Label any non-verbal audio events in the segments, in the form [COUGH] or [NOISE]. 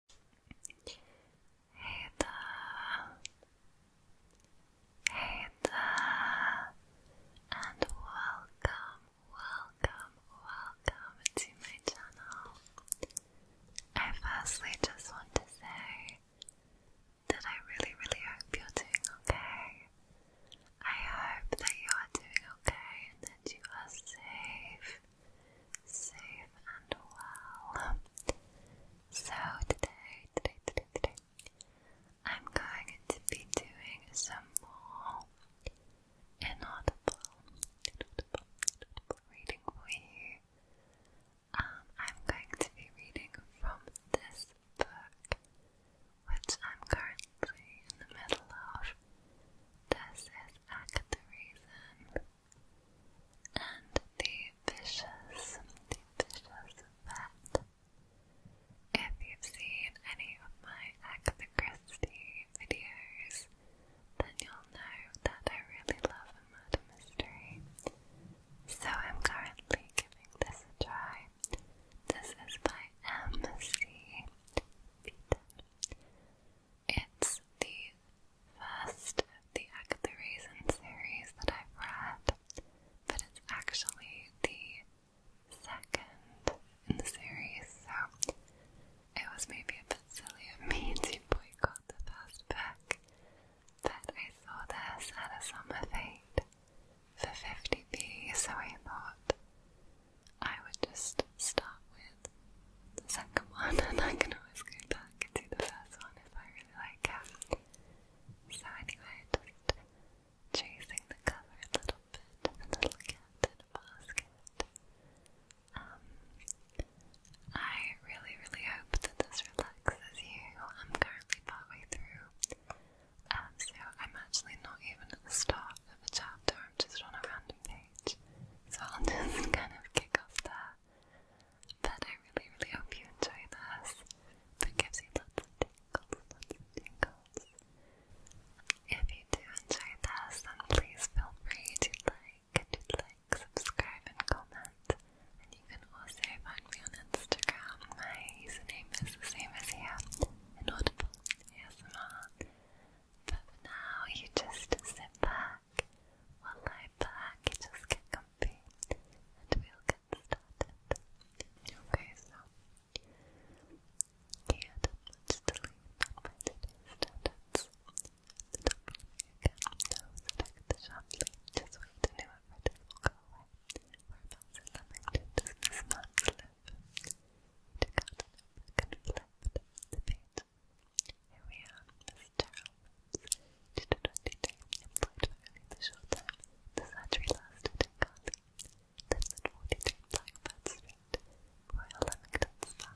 Hey there. Hey there. And welcome, welcome, welcome to my channel. I firstly just want to say that I really, really hope you're doing okay. I hope that you are doing okay and that you are safe safe and well. So today, today, today, today, I'm going to be doing some more inaudible, reading for you. Um, I'm going to be reading from this book, which I'm currently in the middle of. This is Act the and the vicious, the vicious vet. If you've seen any of my Agatha Christie videos, then you'll know that I really love murder mystery. So I'm currently giving this a try. This is by M.C. Beaton. It's the first the Act the Reason series that I've read, but it's actually the second in the series, so it was maybe a bit silly of me [LAUGHS] to boycott the first book, but I saw this at a summer fete for 50p, so I thought I would just start with the second one, [LAUGHS] and I can always go back and the first one if I really like it. So anyway, just chasing the cover a little bit, a little cat basket. Um, I really, really hope that this relaxes you. I'm currently partway through, um, so I'm actually not even at the start of a chapter. I'm just on a random page, so I'll [LAUGHS] just kind of kick off that. But I really, really hope you enjoy this. It gives you lots of tingles, lots of tingles. If you do enjoy this, then please feel free to like, to like, subscribe, and comment. And you can also find me on Instagram. My username is the same as here, inaudible ASMR. But for now, you just sit back. lie back, just get comfy, and we'll get started. Okay, so you had much to leave on my today's standards. The top of again, those affected sharply, just wait to know if it will go away. Whereabouts in Leamington does this man's live? He took out an open and flipped the page here we are, this terrible to the 20 day employed for only the short time the surgery lasted in Carly. Then at 43 Blackbird Street, Royal Leamington Spa.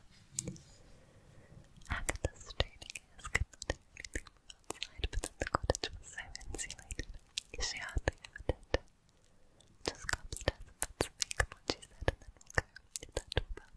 Agatha's straining ears could not hear anything from outside, but then the cottage was so insulated, she hardly ever did. Just go upstairs and put some makeup on, and then we'll go. Is that all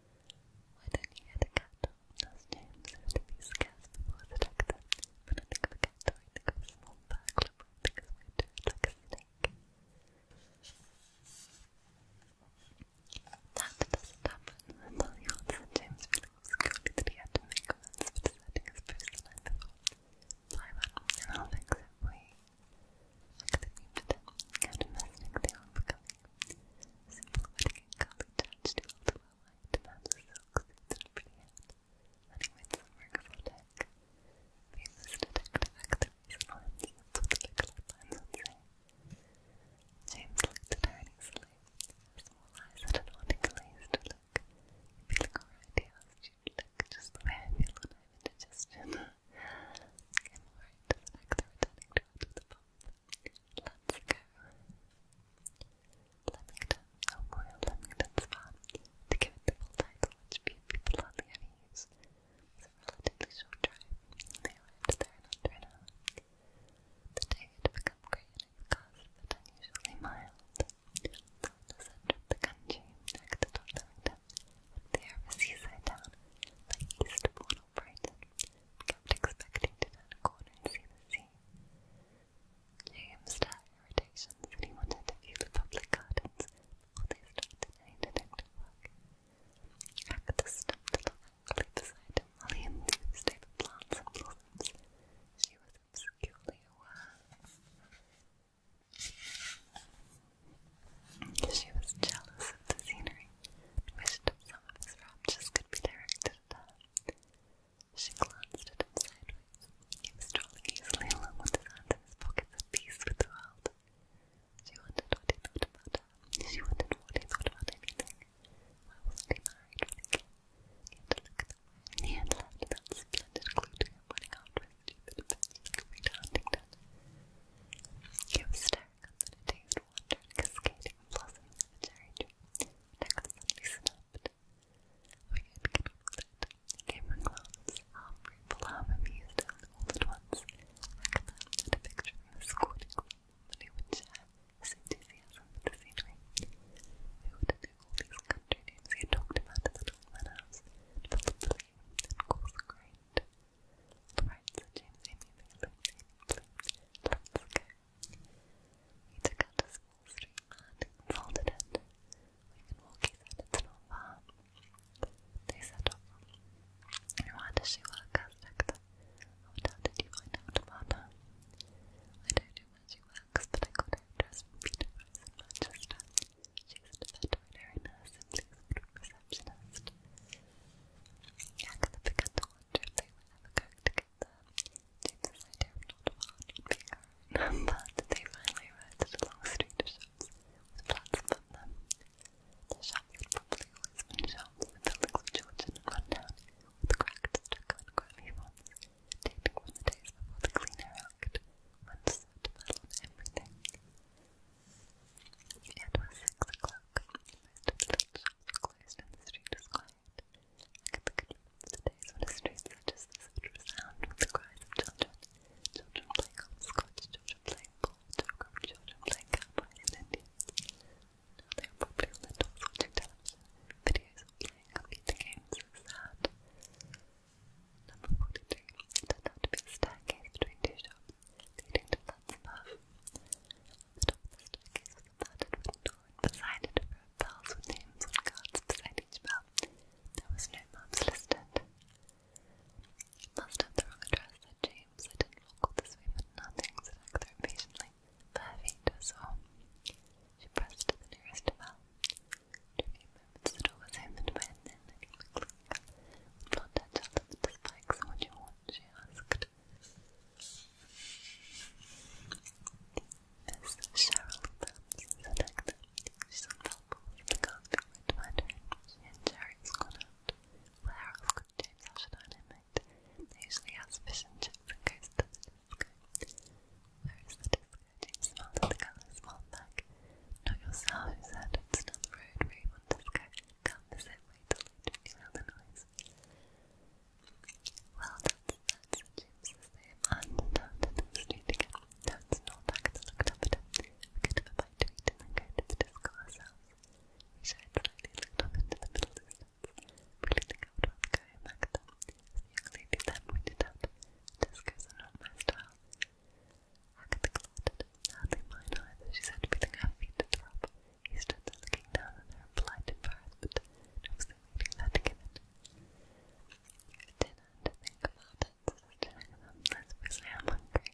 Why do you get a cat? asked James after these scarce before the doctor. When I think of a cat, I think of a small burglar wrapping his way through it like a snake. That doesn't happen, I tell you what, said James, feeling obscurely that he had to make amends for deserting his post the night before. Fly well, and I'll fix it for you. I could have beamed at him, and imagining the arm becoming Silver and curly touch to ultimate light demands a silk suit pretty hat. some work for Dick. Famous detective activities and lines, that's what the lines would say. James looked at her uneasily. Her small eyes had an oddly glazed look. you look alright, he asked you just the way I feel when I have indigestion. I'm alright, said Agatha, to her with a Let's go. Leamington, oh a royal Leamington spa. To give it the full title, which people hardly ever use, short drive. They arrived there in under The day had become grey in its but unusually mild. the centre of the country, next to Leamington, at the air of a seaside like east of Warnell Brighton, kept expecting to turn a corner and see the sea. James stirred irritations he wanted to view the public gardens before they started any detective work. Agatha stepped along angrily beside him while he enthused plants and blossoms. She was obscurely aware. She was jealous of the scenery wished some of his raptures could be directed at She glanced at him sideways. He was strolling easily along with his his pockets at peace with the world. She wondered what he thought She wondered what he thought about anything. Why wasn't he married with He had at the way he that splendid clue to him running after his stupid adventures coming to Huntington. He was staring comes in a get over that. He came from gloves, half grateful, half amused, and all at once, Agatha had picture of him would share his enthusiasm for the scenery. would know all these country names he talked about the Dolman House, full of belief and coarse grained? On the right, James Amy, the Lady Bloom, Lance Coe, we took out a small string and folded it. Milwaukee said it's not far. They set off. Why does she work? asked Agatha. How did you find out about her? I don't know she works, but I got her address from Peter Price in Manchester. She's a veterinary nurse and please receptionist. Agatha began to wonder if they were ever going to look at not being [LAUGHS] around, but they finally arrived at a long street shops The shop had probably always been shops in buildings of Georgian and run down, with cracked, stuck-on grimy ones, dating from the days the Clean Act went so to everything. It was six o'clock look. The the street was quiet. I could look at the days when a street such as this would the cries children. Children playing hopscotch, children playing ball, children playing cowboys and Indians. Now they are probably on their doors watching videos of playing computer games is sad. Number 42. It turned out to be a between two shops, leading to flats above. Stops staircase was planted with a door, and beside it were with names on cards beside each bell. There was no maps listed. Must have the wrong address, said James. I didn't walk this way nothing, said Hector impatiently. Five feet or so. She pressed to the nearest bell. In a few was opened by a thin, looking McClure. With blonde the spikes, what do you she asked. Miss Cheryl Phelps is an actor. She's unhelpful with regards to red matter. She and Jerry Scott out. Where else could James Ashton animate? They usually ask fish and chips and goes to the disco. Where is the disco? James smiled at the girl and smiled back. Not yourself, he said. It's down the road where you want disco. Come the same way to later. You hear the noise. Well, that's, that's James's name. And down to the street again. Down to Northack to looked up at him. We could have a bite to eat and then go to the disco ourselves. We shied slightly, up into the middle distance. Really think I would rather go home back then. The young lady then pointed out, discos are my style. Agatha gloated. Hardly mine either, she said, feeling her feet drop. He stood there looking down on her in blind embarrassment, and was waiting that to give it. Dinner think about it, says Jeremy. I'm hungry.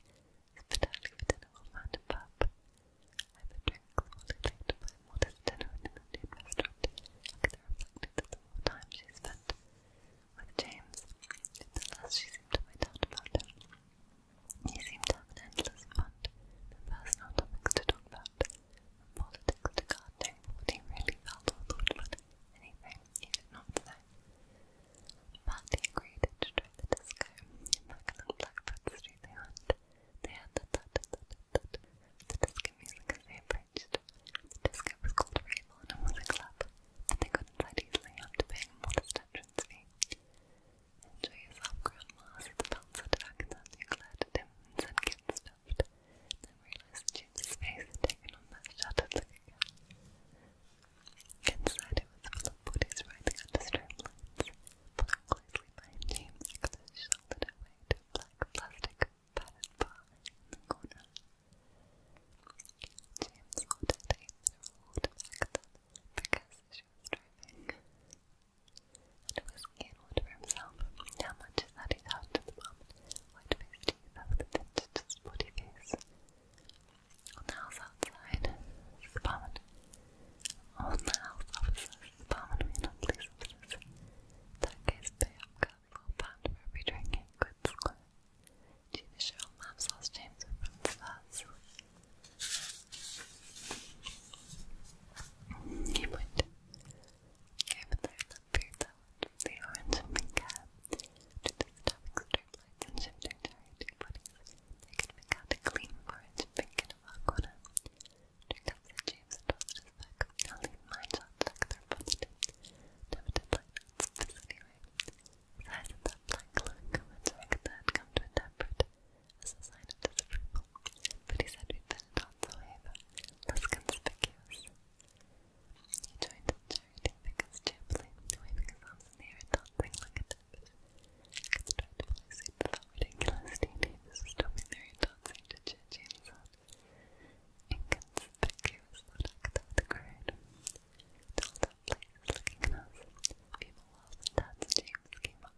Hospitality for dinner will find a pub. I have a drink slowly late to find what is dinner in an Indian restaurant. I could have reflected that the more time she spent with James, the less she seemed to about him. You seem to have an endless fund of personal topics to talk about, from politics to gardening, what you really felt or thought anything you did not know. But he agreed to try the disco. Back on Blackbird Street they went. They had the the disco music as they approached. The disco was called Raylon and was a club, they got inside easily after paying a modest entrance fee. Enjoy yourself, Grandmas. The bouncer dug that you glared at him and said, Then realized Jim's face had taken on that shattered Inside it was full of bodies writhing under strobe lights. Pulling closely behind James, Nicholas black plastic padded bar in the corner. James ordered a mineral she was driving. And was Gainwood for himself. How much is that he's out to the moment? White-faced teeth over the vintage spotty face. On the house outside, the barman. On the house officers, the barman may not police officers. that case, pay up girl four pound for every drink in good square. Gina Cheryl Mabs asked James you would give their love the orange and pink to the topic striplights and shifting charity bodies. They could make out clean orange and pink in a corner. Drink up said James and tossed his back. I'll leave my shots like they're positive. Limited lineups, but anyway. Size of that black look, which that come to a temperate as a sign of disapproval, but he said we'd been on so however, less conspicuous. He joined the charity because cheerfully, waving his arms in the air and dancing like a dipper. Kids tried to play suit with that ridiculous teenagers who still be married dancing to churchy and sad. Inconspicuous that act of the crowd. Till that place was looking at us, people laughed and danced James came up.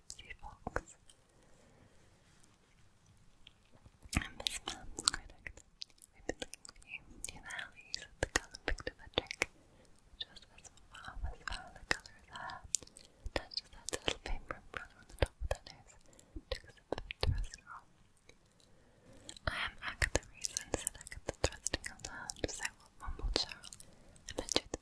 Gypsy Fox. And this man's critic. We've been looking you the alleys picked a trick, which was as far as far the colour as hair. Touched his head to little paper umbrella on the top of their nose, took a sip of off. I am Agatha Reason, said Agatha, thrusting out her hand, so what mumbled Cheryl. I bet you the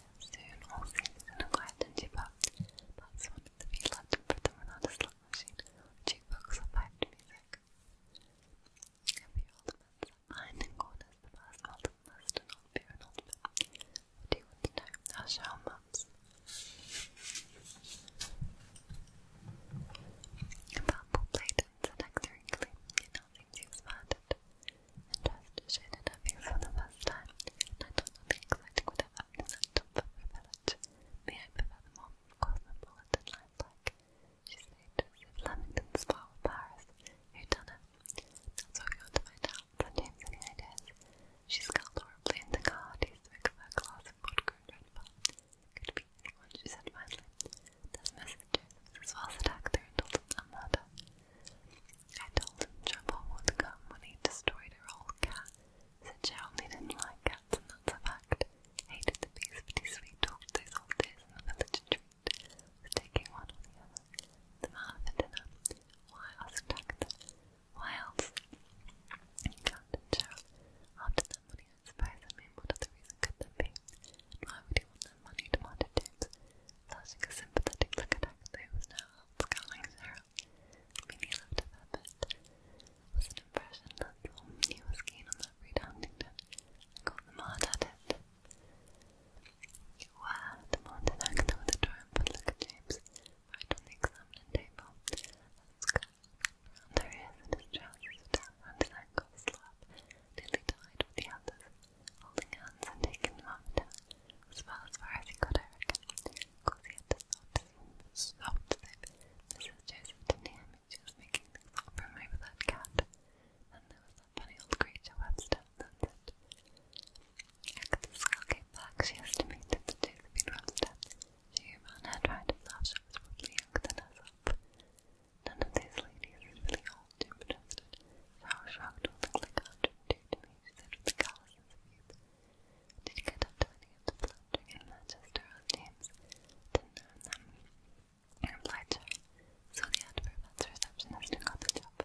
Soon all season acquired into pubs. Pubs wanted to be loved and put them without a slot machine or jukebox or piped music. A few old men sat behind in corners the past old must and old beer and old men. What do you want to know? I'll show mums. A purple plate and said extrinctly, it now seems and just shaded up here for the first time, I don't know the exciting would have happened in that of village. May I prefer the more cosmopolitan lifelike? She said to as if Lamington's far with Paris. Who done it? That's what we want to find out. any ideas? She scowled horribly in the car, tasted of her glass of vodka and red Could be anyone, she said finally. There's messages, as well as an actor and Dalton I told him trouble would come when he destroyed her old cat. Said Geraldine didn't like cats, and that's a fact. Hated the beast, but he sweet talked those old days in the village treat. Was taking one or the other. The man for dinner. Why asked Agatha? Why else? Cat and Gerald. After that money, I suppose. I mean, what other reason could there be? And why would he want that money? demanded James, flashing a sympathetic look at Agatha, who was now out scowling at her. Meaning left of Abbott was an impression that Thornley was keen on that breed Huntington and got at it. Where? demanded Agatha with a triumphant look at James, right on the examining table. That's good. Round her ears and his trousers were down round his tied with the others, holding hands and taking them up as well far as he could, I because he had to stop to stop to Mrs. Joseph did making things up from over that cat. And there was that funny old creature Webster, that's it. After the skull came back, she estimated that Josephine Webster, she who ran she was probably younger than herself. None of these ladies is really old, Jim protested. Sarah shrugged all things like a hundred and two to me, she said with a callous series. Did get up to any of Manchester or James? Didn't earn them. I replied to her. So the adverb at the receptionist and got the job.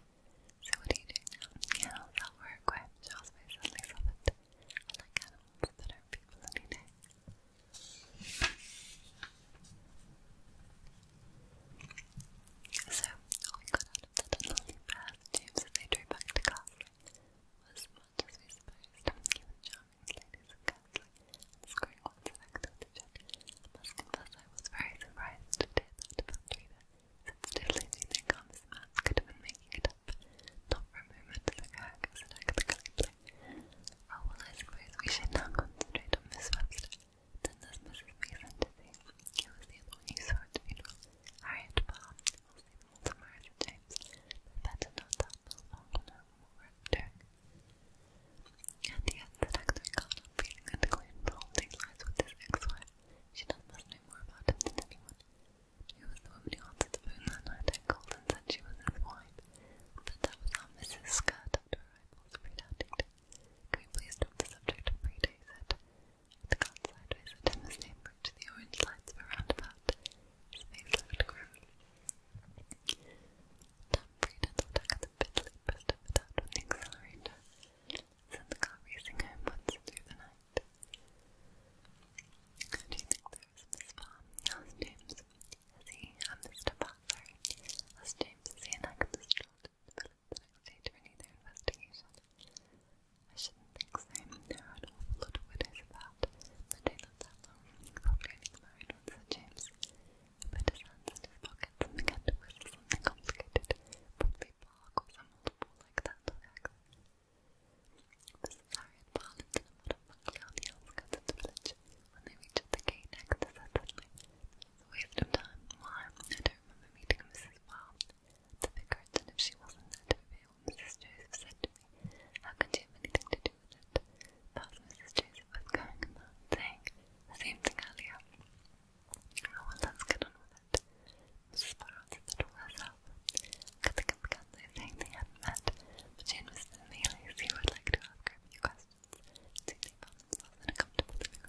So what are you doing now? Yeah, how's that work? Why? She always suddenly love I like animals better than people any So, all we got of the tunneling brass tubes as back to Castle was much as we supposed, given Charming's ladies of Castle and screwing one's effect with each other. I was very surprised to hear that about Rita, since totally do think how this man could have been making it up. Not for a moment did I Oh well, I suppose we should now concentrate on Miss Webster. Then there's Mrs. Mason see. It was the other one you Harriet Palm will say multiple times that better not topple Ongonum or Dirk. And yet, the actor caught up feeling that the claim the whole thing with his ex-wife. She does must know more about him than the woman who answered the phone that night called and said she was his wife. But that was how Mrs. Scott, after arrival, spread out Can we please drop the subject of Friday, said had gone sideways at him as they the orange lights of a roundabout. His face looked Tom Breeden stuck at the piddly pressed of the on the accelerator, sent the car racing homewards through the night. do you think there is, Miss Farm? asked James. Is he a Mr. Butler? asked James as he enacted the stroke developed the I shouldn't think so. There are an awful lot of widows about. They don't last that long. Probably only the married one, said James. He put his hands in his pockets and began to whistle something complicated. Probably Park or some old ball like that or X. Mrs. Harriet Barland and her mother buckley on the outskirts of the village. When they reached the gate, Hector said suddenly, a waste of time. I don't remember meeting Mrs. Wow. The vicar had if she wasn't said Mrs. Joseph said to me, how could she have anything to do with it? That Mrs. Joseph was going and the same thing earlier. Oh, well, let's get on with it. Mrs. Sparrow said that all herself. Kathy and Kathy saying they hadn't met, but she and Mr. would like to ask her a few questions, so they found themselves in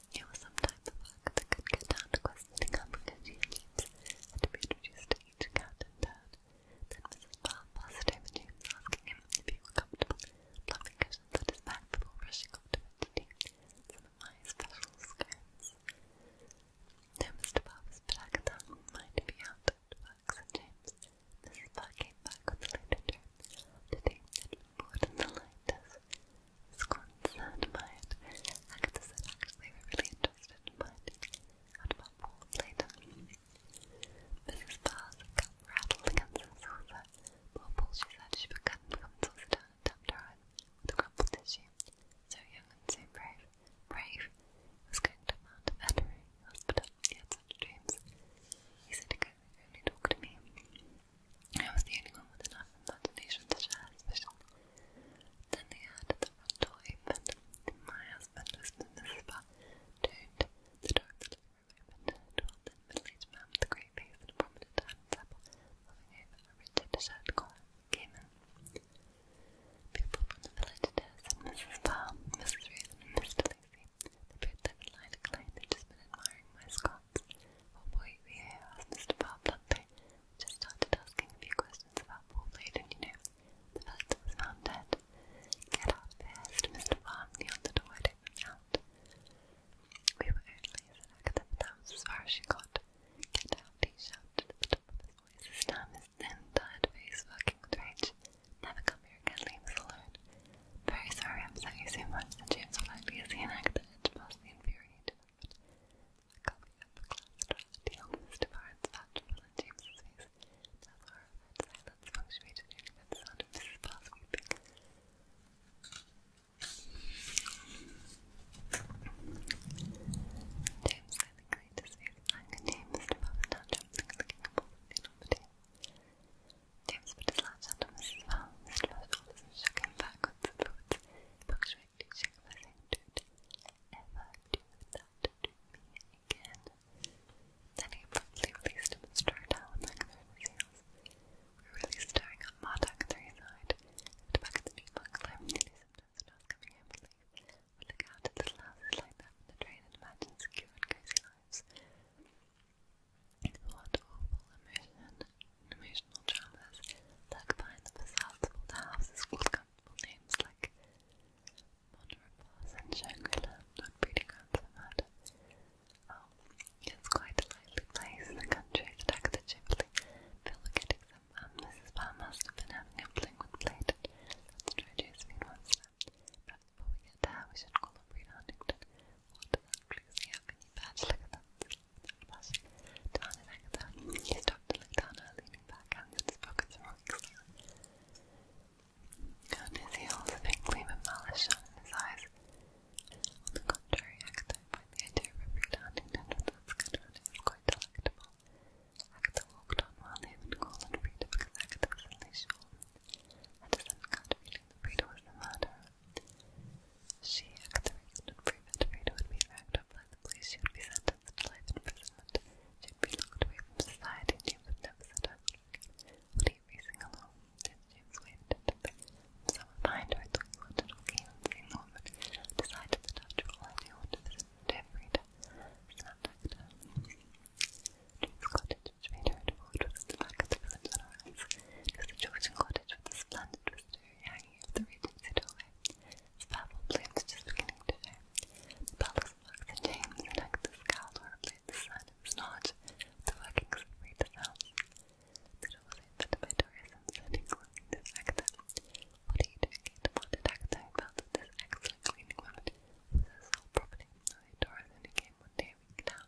It was sometimes a fact that could get down to questioning how James had to be introduced to each cat Then Mrs. Bell passed over James, asking him if he were comfortable, plumping cushions at his back before brushing off to bed to tea. special scones. Though Mr. Bell was black and mind to be out at James. Mrs. Bell came back with the later term. The day had the lightest sconce and mine. Actors and actually were really interested in mine. Out about Paul Plato. Mrs. Barr's cup rattled against the saucer. Poor Paul, she said, she put cotton from the saucer down and tapped her eyes with crumpled tissue. So young and so brave. Brave! was going to Mount Veterinary Hospital. He had such dreams. He said he could only talk to me. I was the only one with enough imagination to share Then they heard the front door My husband whispered Mrs. Butt, don't. The door of the living room opened. the middle-aged man with great face and a prominent hand apple, moving over a rigid shirt came in. People from the village there said Mrs. Mrs. Raylan, and Mr. Lacey. They both line and Klein. they just been admiring my scar out. One we asked Mr. Barplante, just started asking a few questions about Paul Layden, you know, the fact that was found dead. Get out of here, said Mr. Barnley on the door, I We were only, said Agatha, that was as far as she got. Get out, he shouted the top of his voice, his damn, his thin, tired face working with Never come here again, leave us alone. Very sorry I upset you so much, said James politely as he and greatly infuriated but a copy of the glass dropped deal Mr. Barnes James's face. That silence punctuated only by the sound of Mrs. Bell's weeping. face and contained Mr. Bell's tantrum of all the James put his large hand on Mrs. Val's shoulders and shook him backwards and forwards. Book shrieked, shook him by saying, Don't ever do that to me again. Then he abruptly released him and strode down back over his heels. We were really staring at back at the new monk climbing the sometimes when I coming home from leave. look out at little houses like that from the train and imagine secure and cozy lives. What awful emotion emotional dramas lurk behind the facades of older houses called comfortable names like Monrepas and Shangri-La not breeding grounds for oh, it's quite a lively place, the country, the deck the Ghibli. Phil were getting some Mrs. Um, Bell must been having a fling with Blade. Let's try Josephine once before we get there, we should call up Rita Huntington. What you He stopped to down leaning back, hands in his and his heels, a pink gleam of shone in his eyes. On the contrary, Agatha find the idea of a Frida that was quite delectable. Agatha walked on while Nathan called on Frida because Agatha was only sure, had a sudden kind of feeling that Frida was the murderer. She acts and proven to freedom would be racked up by the police. She would be sentenced to life imprisonment. She would be locked away from society. And would never set her Would he racing along? Then James waved at him someone behind her. I you wanted to walk in and see the woman. Decided that all, I do want to visit every day. Snapped cottage, which to walk towards the back of the village on her eyes. It was a Georgian cottage with a splendid next the Regency doorway. Its purple plumes just beginning to show. The palace marks and James and Hector's cowl were replaced the sign the workings of Rita's house. The door was opened by and standing looking to Hector. What are you doing here? demanded Hector, felt that this excellent cleaning woman was her sole property, although Doris only came one day week now.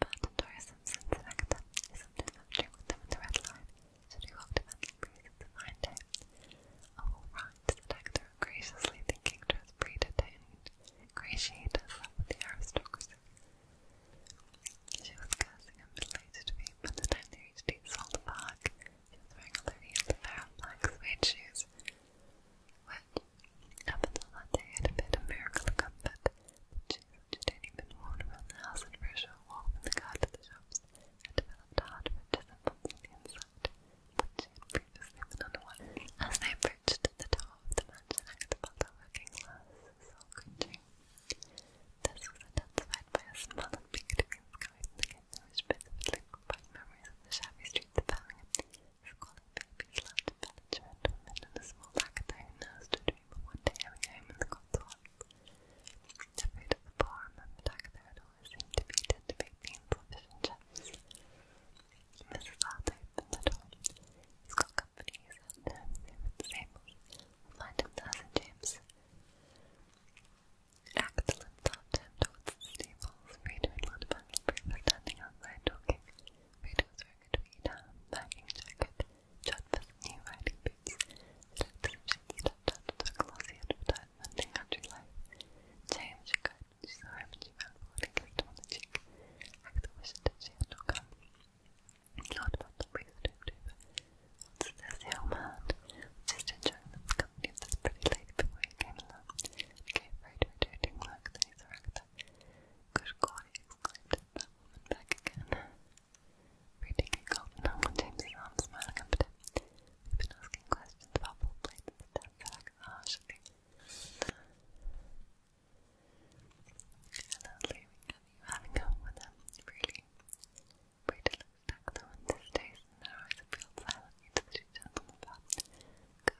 But Simpson's actor is often pictured with them in the red line, so they walked the breezes to find him. All oh, right, said Hector, graciously thinking to his breeder to ingratiate herself with the aristocracy. She was cursing a middle-aged femme the time they reached the salt park. She was wearing a low-heeled pair black suede shoes, up until that day, it had been a miracle of comfort. The children had only been the house and for a short walk the car shops, had developed a hard winter semblance inside, she had previously been unaware. As they approached the door of the mansion, I could the working glass soul cringing. This was intensified by a smell of pink green sky and the kitchen, which vividly memories of the shabby streets of Birmingham. Scholar babies love to village men women in a small hackathon nurse to dream of one day having a home in the Cotswolds. The food the bar remembered Agatha always seemed to be tender baked beans or fish and chips. Mrs. Hart opened the company, he said, no, him at the stables. We'll find him there, stables. Rita and Lord Bundlebury outside talking. Rita was Örgüt ve ilhamdan ince kötü writing boots that have description adapted to a glossy advertisement in country life. James regarded his arm and she ran forward and kissed him on the cheek. Hector wished that she had not come. He thought about the ways that he would What's this young man? Just enjoying the company of this pretty lady before he came along. He gave way to a that he surrounded Good God, he back again. Reading a golden number, James's arm smiling up at him. have been asking questions about ball plates and stuff, said Agatha harshly. And having up with them, really. Brady looked back at the window stays and her eyes appealed silently to the two about. Go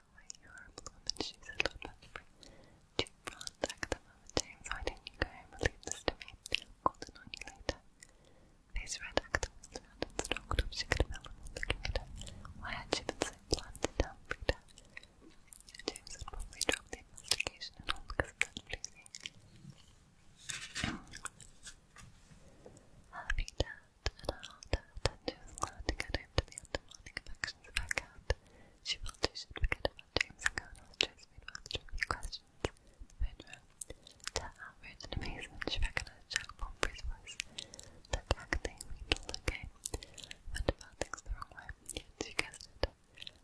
way you were a blonde and a little bit too bronze at the moment, Why don't you go and leave this to me? I'll call in on red actor and stalked up. She could have held him looking at her. Why had she been so blunt and down, Frida? James had probably the investigation and all because of that and her heart to get home to the undermining affections of her cat. She felt she should about James and Colonel's choice made well trivial questions. The phone rang. To her outrage and amazement, she recognized Jack Pomfrey's voice. That Jack thing means all okay. Went about things the wrong way, she guessed it.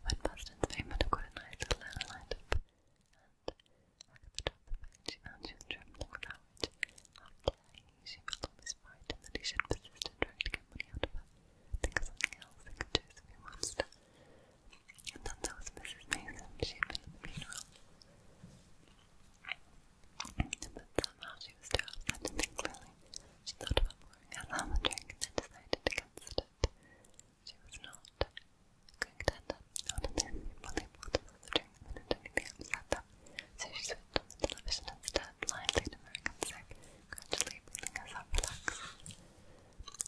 When Preston's fame had got a nice little and at the top of the phone she found she was trembling with outrage. How she felt almost frightened that he should persist in trying to get money out of her. Think of something else, think of Josephine Webster. And then there was Mrs. Mason, she had been at the funeral. But somehow she was too upset to think clearly. She thought about pouring her lamb drink and then decided against it. She was not going to end up not in the end, they bought another drink and then anything upset them. So she switched on the television instead, blindly to American Sick gradually building herself relax.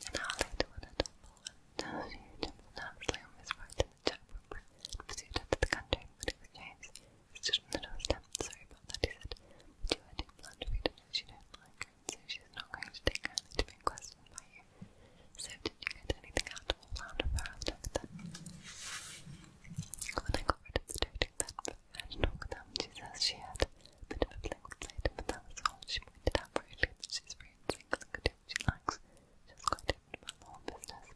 An hour later, when her temple and she nervously on his right in the chapel and pursued her the country, but it was James who stood on the Sorry about that, he said, but you are too blunt for you she don't like so she's not going to take her to being questioned by you. So, did you get anything out of round of her after that? When I got got rid of the She says she had a bit of a political but that was all. She pointed out very clearly that she's free and single and she likes. just going quite my about the whole business.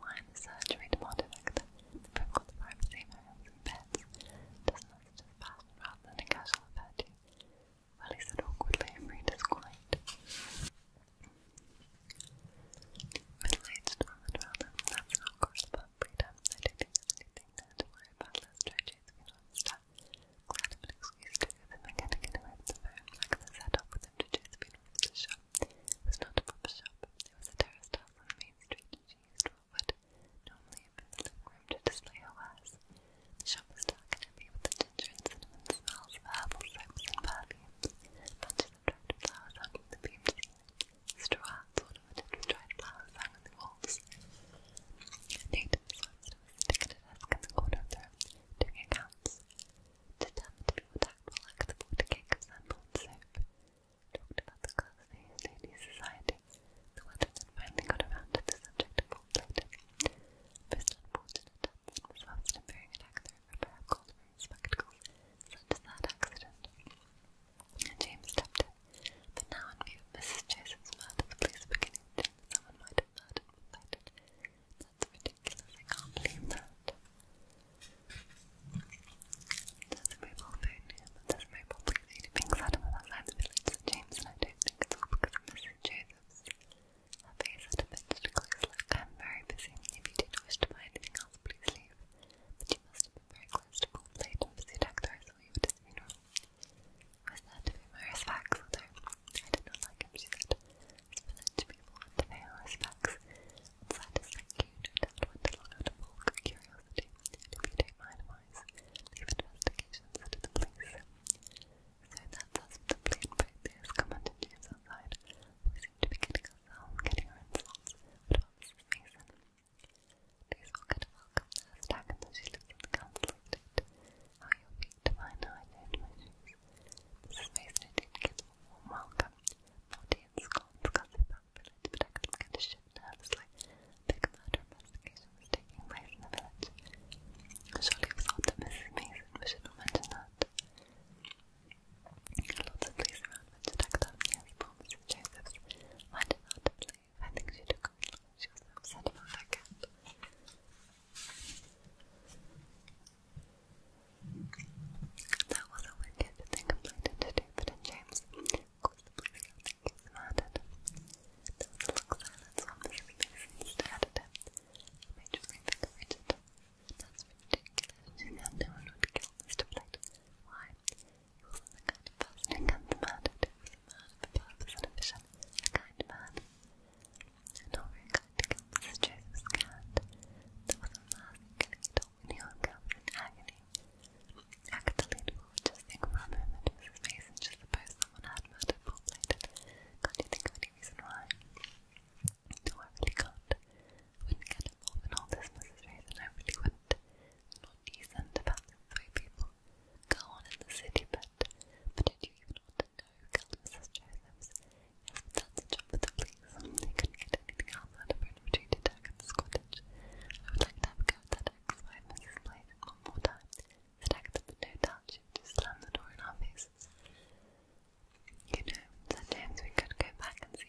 Wine, the surgery, the modern actor, the privilege of privacy, homes and pets. Doesn't that just passion rather than a casual affair to you? Well, he said awkwardly, Frida's quiet. Middle-aged woman rather, that's an awkward affair lot of I don't think there's anything there to worry on stuff. Glad of an excuse to give them and to get away with the phone. Like the setup with them to chase me with the shop. It was not a proper shop. It was a terraced house on the main street she used what would normally have been the living room to display her The shop was dark and heavy with the ginger and cinnamon smells of herbal soaps and perfumes. Bunches of dried flowers hung the beams ceiling straw hats dried flowers hung on the walls. Native swordsman was sitting a desk in the corner of the room, doing accounts. to be more tactful, like the water cake of sandal and soap. Talked about the class of the society. The weatherman finally got around to the subject of old later. Most unfortunate Dunson was lost in bearing an accident, a pair of gold spectacles, such as that accident and James stopped it. But now, in view Mrs. Jason's murder, police were beginning to someone might have murdered That's ridiculous. I can't believe that. There's a mobile phone here, but there's no public safety being set up outside the village, so James and I don't think it's all because of Mrs. Joseph's. Her face had a bit of a close look. I'm very busy. If you did wish to buy anything else, please leave. But you must very close to full plate and pseudactyl I saw you at was glad to pay my respects, although I did not like him, she said. It's village people want to pay our respects. And thank you, no doubt went curiosity. you don't mind, investigations to the police. So that's us the plain practice, commented James outside. We seem to be getting ourselves, getting our What about Please forget to the stack and the the conflict. How your feet to mine, how Mrs. Mason welcome. Forty and scones got the village, but I couldn't get a shift nervously. A big murder taking place in the village. Surely it was that Mrs. Mason should mention that. Lots of police around Winter Tech Avenue, as Joseph. I did not believe. I think she took her She was upset about her cat. That was a wicked thing completed to David and James. Of course, he's murdered. There was a long silence while Mrs. Mason stared him. It made you think of That's ridiculous. She said no one would kill Mr. Plate. Why? a kind of person who comes mad at it was a of a purpose a vision, a kind man. not very kind to Gilbert was Joseph Scant. There was a man who killing a dog when he hung in agony. Actily, the woman just think for a moment was his face just suppose someone had murdered Paul Plated. Can't you think of any reason why? No, I really can't. wouldn't get involved in all this, Mrs. Rayson, I really wouldn't people decent about this people go on in the city, but but did you even want to know who Mrs. Josephs? Yes, but that's a job for the police. They could get anything else of an retreated attack the cottage. I would like to have a that ex one more time. Stacked up with no doubt she just slam the door in our faces. You know, sometimes we could go back and see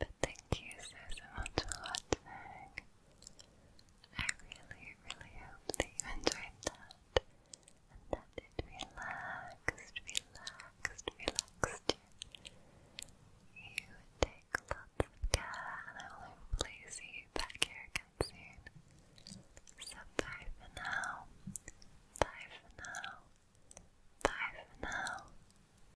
But thank you so, so much for watching. I really, really hope that you enjoyed that and that it relaxed, relaxed, relaxed you. take lots of care and I will see you back here again soon. bye for now. Bye for now. Bye for now.